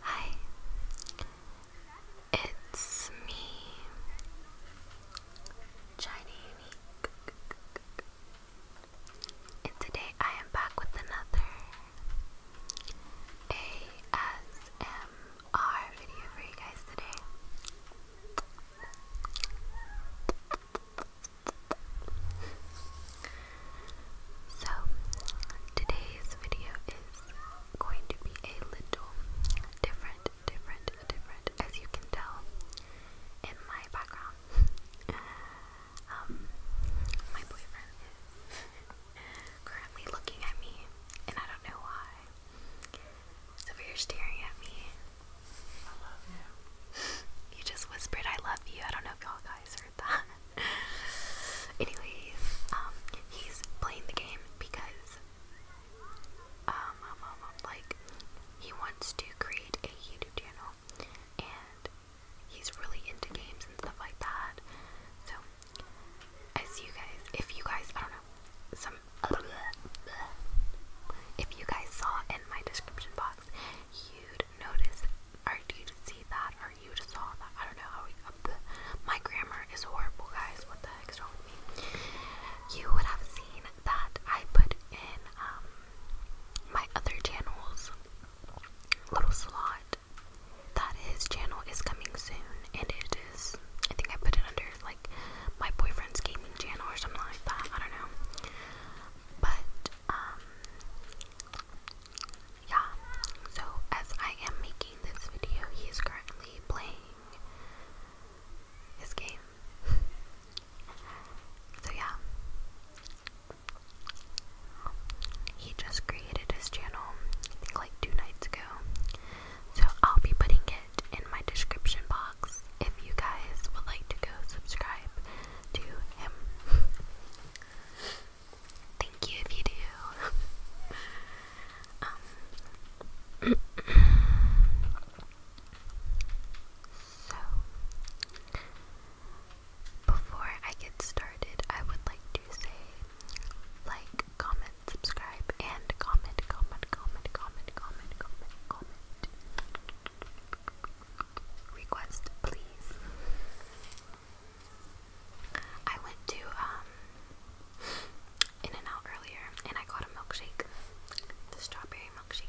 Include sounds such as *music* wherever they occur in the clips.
Hi, it's me, Shiny and today I am back with another ASMR video for you guys today. So, today's video is going to be a little different, different, different, as you can tell in my background. *laughs* um, my boyfriend is currently looking at me, and I don't know why. So, you're staring at me, I love you. You just whispered, I love you. I don't know if y'all guys heard that. *laughs* Anyways, um, he's playing the game because, um, um, um, um, like, he wants to create a YouTube channel and he's really into games and stuff like that. So, as you guys, if you guys, I don't know, if you guys saw in my description box, you'd notice or you'd see that or you just saw that. I don't know how uh, my grammar is horrible, guys. What the heck's wrong with me? You would have seen that I put in um, my other channel's little slot that his channel is coming soon, and it is. I think I put it under like my boyfriend's gaming channel or something like that. I don't know. But um yeah. So as I am making this video, he currently playing his game. *laughs* so yeah. He just created his channel, I think like two nights ago. So I'll be putting it in my description box if you guys would like to go subscribe to him. Thank you if you do. *laughs* Um, so, before I get started, I would like to say like, comment, subscribe, and comment, comment, comment, comment, comment, comment, comment. Request, please. I went to um, In and Out earlier, and I got a milkshake, the strawberry milkshake.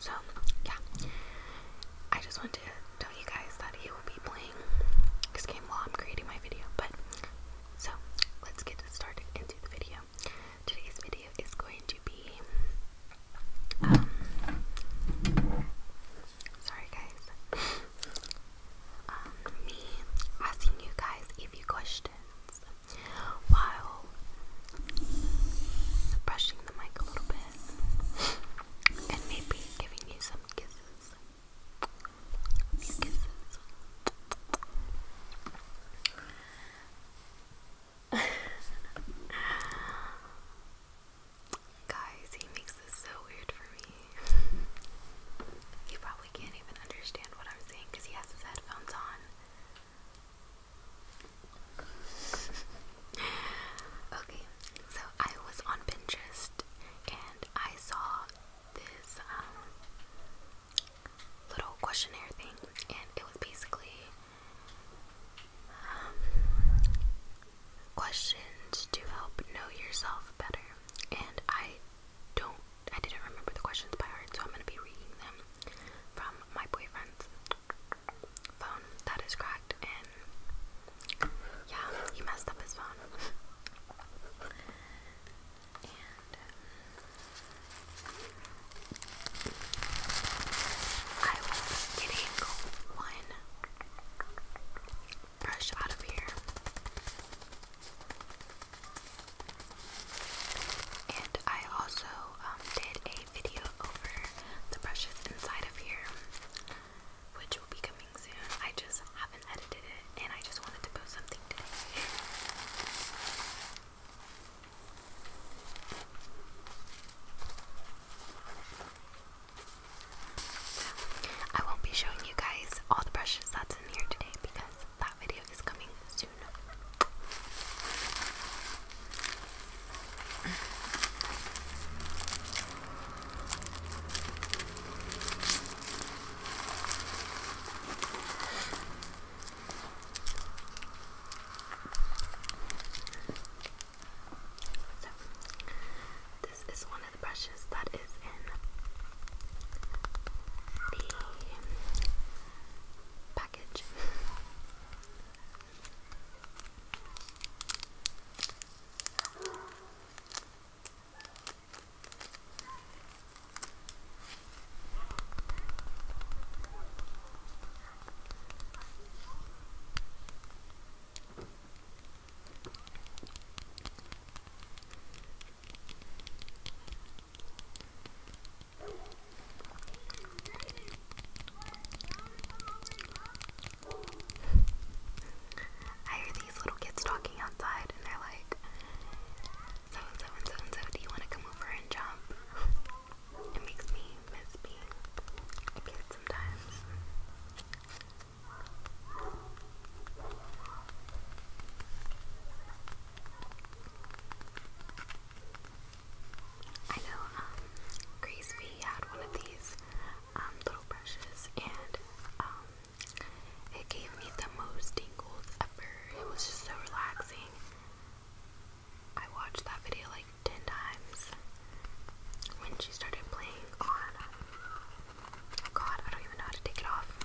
So, yeah, I just want to tell you guys that he will be playing this game while I'm creating my video. But so let's get started into the video today's video is going to be um sorry guys um me asking you guys a few questions while brushing the mic a little bit and maybe giving you some kisses. kisses. *laughs* Guys, he makes this so weird for me. you probably can't even understand what I'm saying because he has his headphones on. *laughs* okay, so I was on Pinterest and I saw this um, little questionnaire thing, and it was basically um, questions to help know yourself better. And I don't, I didn't remember the questions by heart, so I'm gonna be reading them from my boyfriend's phone that is cracked, and yeah, he messed up his phone. I will getting one brush out of here. And I also did a video over the brushes inside of here, which will be coming soon. I just haven't edited it, and I just wanted to post something today. I won't be showing you guys all the brushes that's in here today because that video is coming soon. So, this is one of the brushes that is in the package. I hear these little kids talking outside, and they're like, so and so and so and so, do you want to come over and jump? it makes me miss being a kid sometimes. I know um, Grace had one of these um, little brushes and um, it gave me the most tingles ever. It was just so relaxing. I watched that video like 10 times when she started playing on. Oh god, I don't even know how to take it off.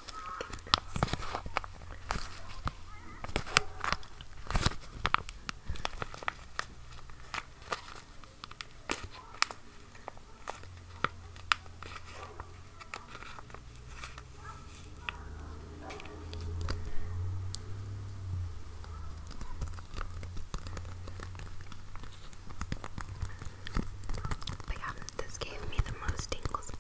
But yeah, this gave me the most tingles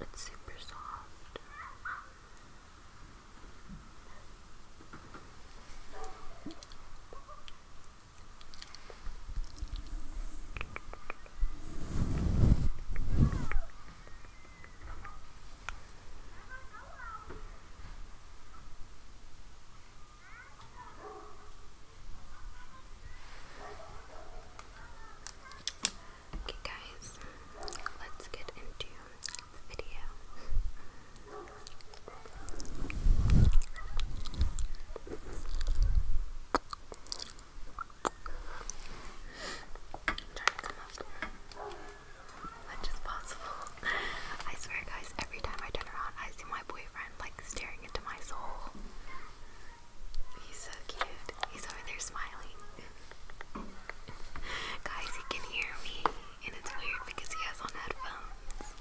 It's super soft. Okay, guys, let's get into the video. as much as possible. I swear, guys, every time I turn around, I see my boyfriend like staring into my soul. He's so cute. He's over there smiling. *laughs* Guys, he can hear me, and it's weird because he has on headphones.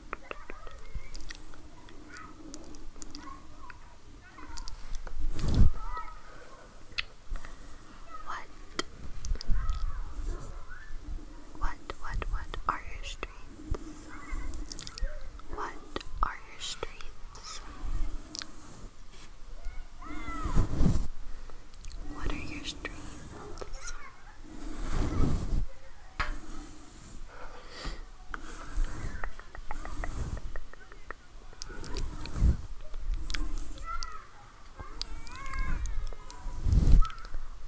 What? What, what, what are your streets? What are your streets? What are your streets?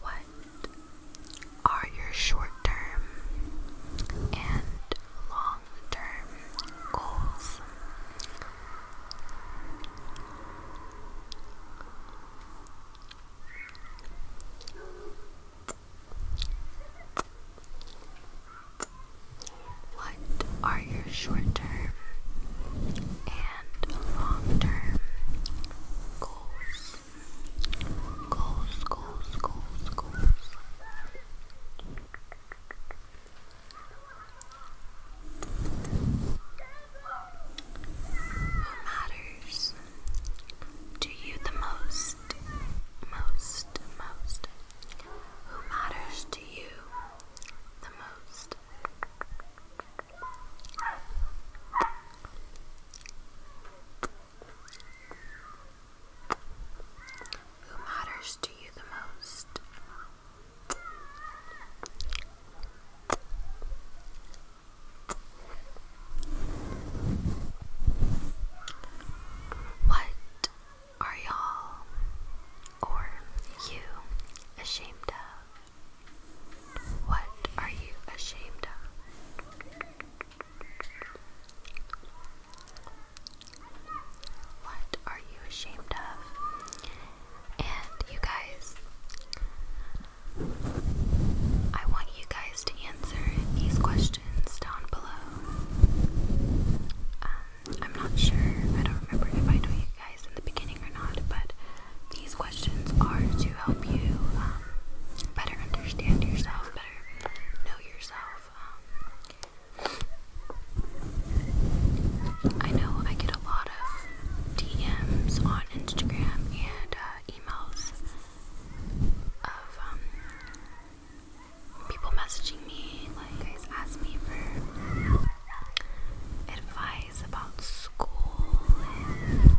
What are your short term and long term goals? What are your short term and long term goals? Goals, goals, goals, goals. Who matters to you the most? Most, most. Who matters to you the most? Who matters to you the most? What are y'all or you ashamed of? What are you ashamed of? What are you ashamed of? And you guys, I want you guys to answer these questions down below. Um, I'm not sure, I don't remember if I told you guys in the beginning or not, but these questions are to help you um, better understand yourself, better know yourself. Um, I know I get a lot of DMs on Instagram and uh, emails of um, people messaging me, like guys me for advice about school and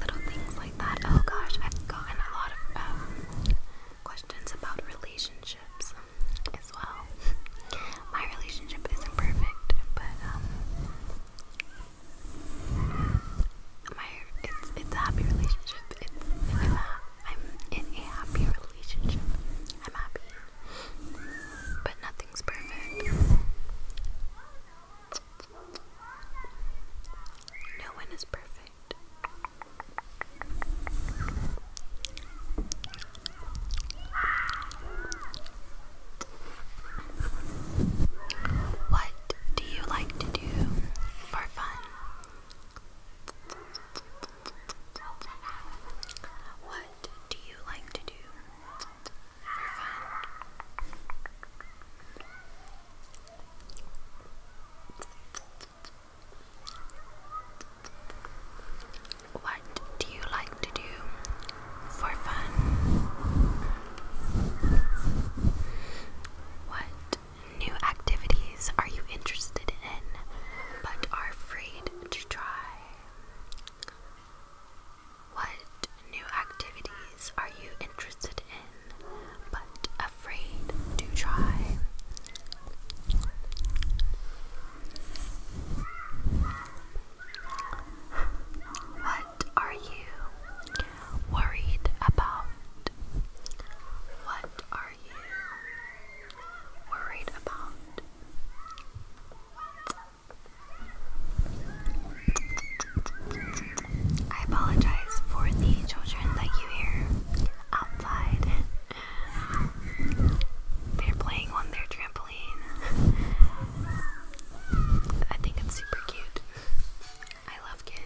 little things like that. Oh gosh, I've gotten a lot of um, questions about relationships as well my relationship isn't perfect, but um, my it's it's a happy relationship. It's I'm, a, I'm in a happy relationship. I'm happy, but nothing's perfect. No one is perfect. What do you like to do for fun? What do you like to do for fun? What do you like to do for fun? What new activities are you interested in but are afraid to try? What new activities are you interested in but afraid to try? What are you worried about? What are you worried about? I apologize for the children that you hear outside. They're playing on their trampoline. I think it's super cute. I love kids.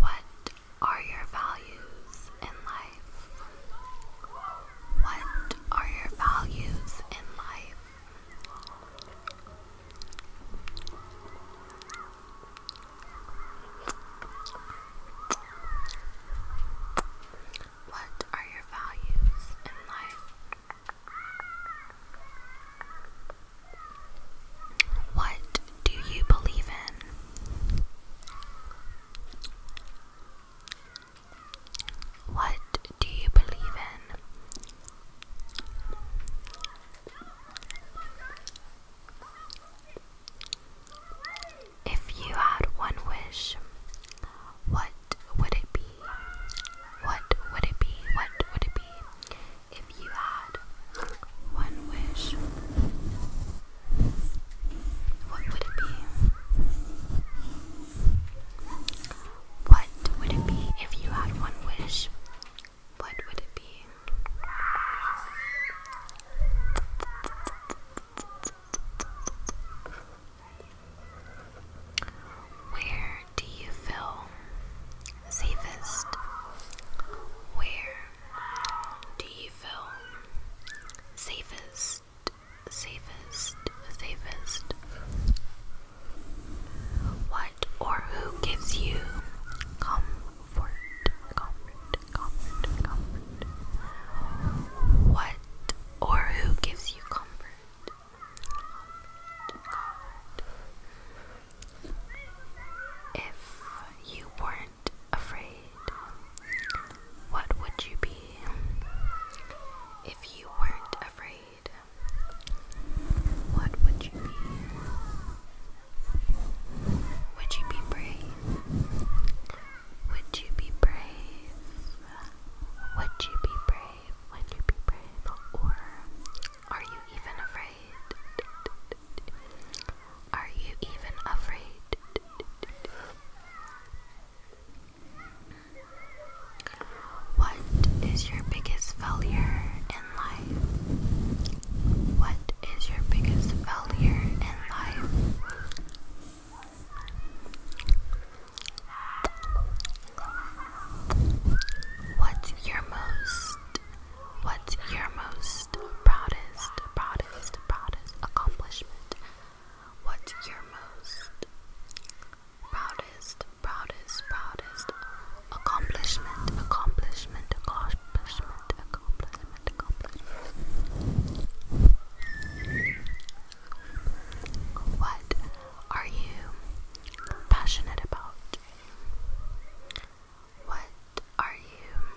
What are your values in life? What are your values in life? What are your values in life? What do you believe in? What do you believe in? If you had one wish, what would it be? What would it be? What would it be? If you had one wish, what would it be? What would it be if you had one wish? what would it be? Where do you feel safest? Where do you feel safest? Safest, safest. What or who gives you comfort, comfort, comfort, comfort. What or who gives you comfort. If you weren't afraid, what would you be? If you weren't afraid, what would you be? Would you be brave? Would you be brave? Would you be brave? Would you be brave? Or are you even afraid? Are you even afraid? What is your biggest failure what is your biggest failure in life? What's your most what's your most proudest, proudest, proudest accomplishment? What's your most proudest, proudest, proudest accomplishment, accomplishment, accomplishment, accomplishment, accomplishment. What are you passionate about? What are you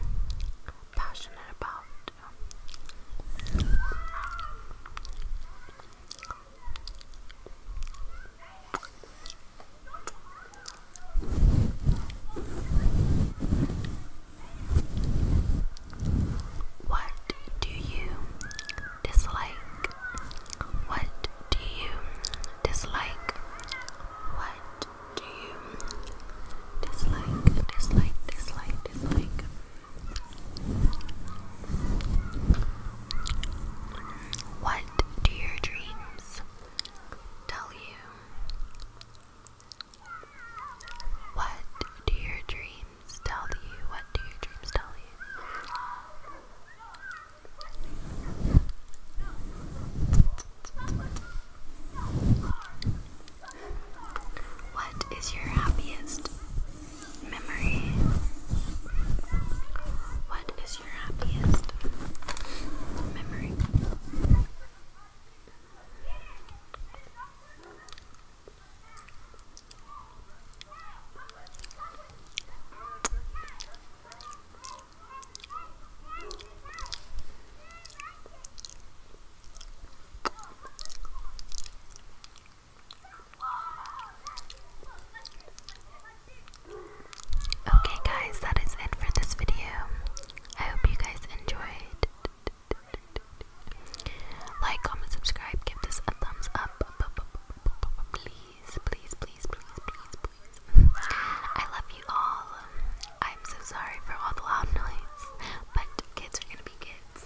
passionate about? What do you dislike? What do you dislike? What do you dislike? Dislike, dislike, dislike. What it? Do your dreams tell you? What do your dreams tell you? What do your dreams tell you? What is your happiest memory? What is your happiest memory? Okay, guys, that is it for this video. I hope you guys enjoyed. Like, comment, subscribe, give this a thumbs up. Please, please, please, please, please, I love you all. I'm so sorry for all the loud noise, but kids are gonna be kids.